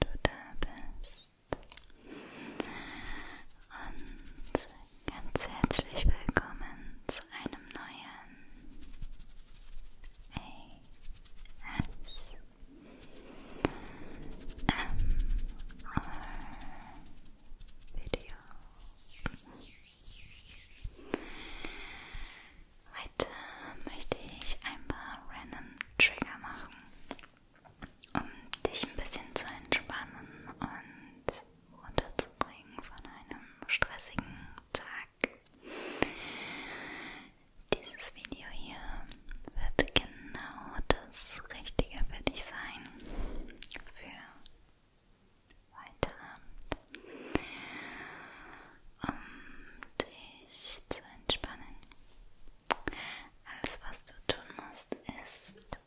du da bist. Und ganz herzlich willkommen zu einem neuen AS. Video. Heute möchte ich ein paar random Trigger machen, um dich ein bisschen zu entspannen und runterzubringen von einem stressigen Tag. Dieses Video hier wird genau das Richtige für dich sein. Für heute Abend. Um dich zu entspannen. Alles, was du tun musst, ist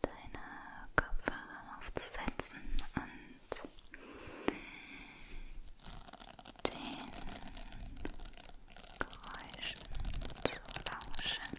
deine Kopfhörer aufzusetzen und den Geräuschen zu lauschen.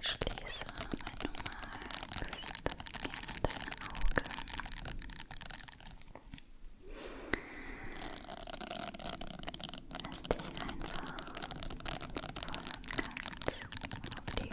Schließe, wenn du magst, gerne deine Augen. Lass dich einfach voll und ganz auf die Geräusche ein.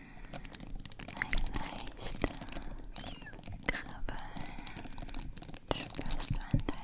ein leichtes Kribbeln spürst du an deinen Ohren. Und es entspannt dich.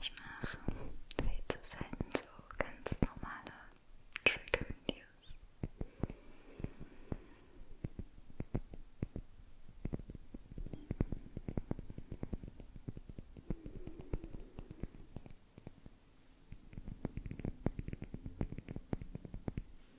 Ich mache zu selten so ganz normale Trigger-Videos.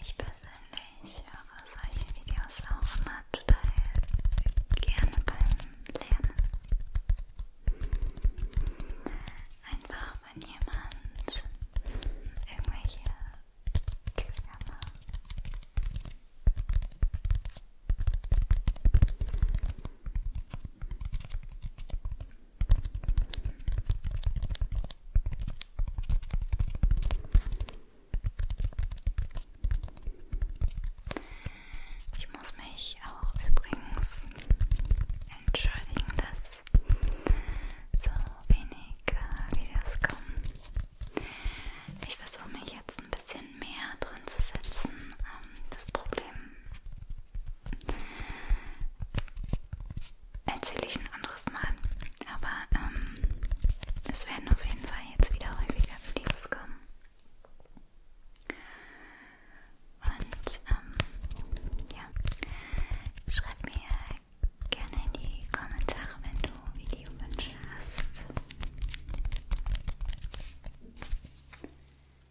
Ich persönlich höre solche Videos auch immer total gerne beim Lernen. Einfach wenn jemand irgendwelche Trigger macht. Ich muss mich auch übrigens entschuldigen, dass so wenig äh, Videos kommen. Ich versuche mich jetzt ein bisschen mehr drin zu setzen. Ähm, das Problem erzähle ich ein anderes Mal. Aber ähm, es werden auf jeden Fall jetzt wieder häufiger Videos kommen. Und ähm, ja, schreib mir gerne in die Kommentare, wenn du Videowünsche hast.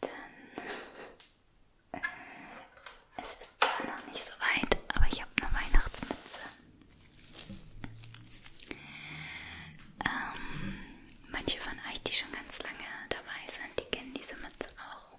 Dann. Äh, es ist zwar noch nicht so weit, aber ich habe eine Weihnachtsmütze. Ähm, manche von euch, die schon ganz lange dabei sind, die kennen diese Mütze auch.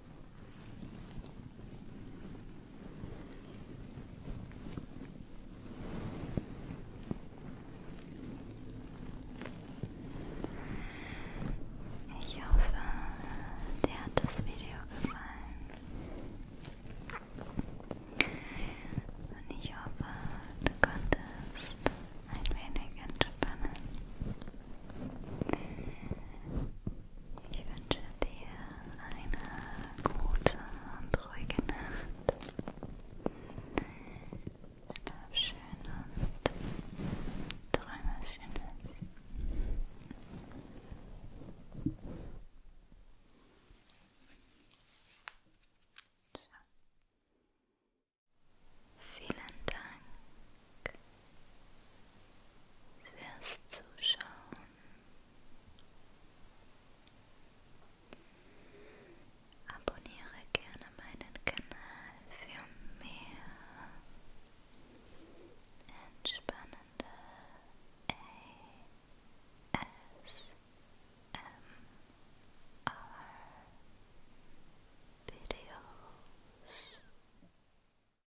Ich hoffe, dir hat das Video gefallen. Und ich hoffe, du konntest ein wenig entspannen. Ich wünsche dir eine gute und ruhige Nacht. Schlaf schön und träume was Schönes. Ciao. Vielen Dank fürs Zuschauen. Abonniere gerne meinen Kanal für mehr entspannende ASMR-Videos.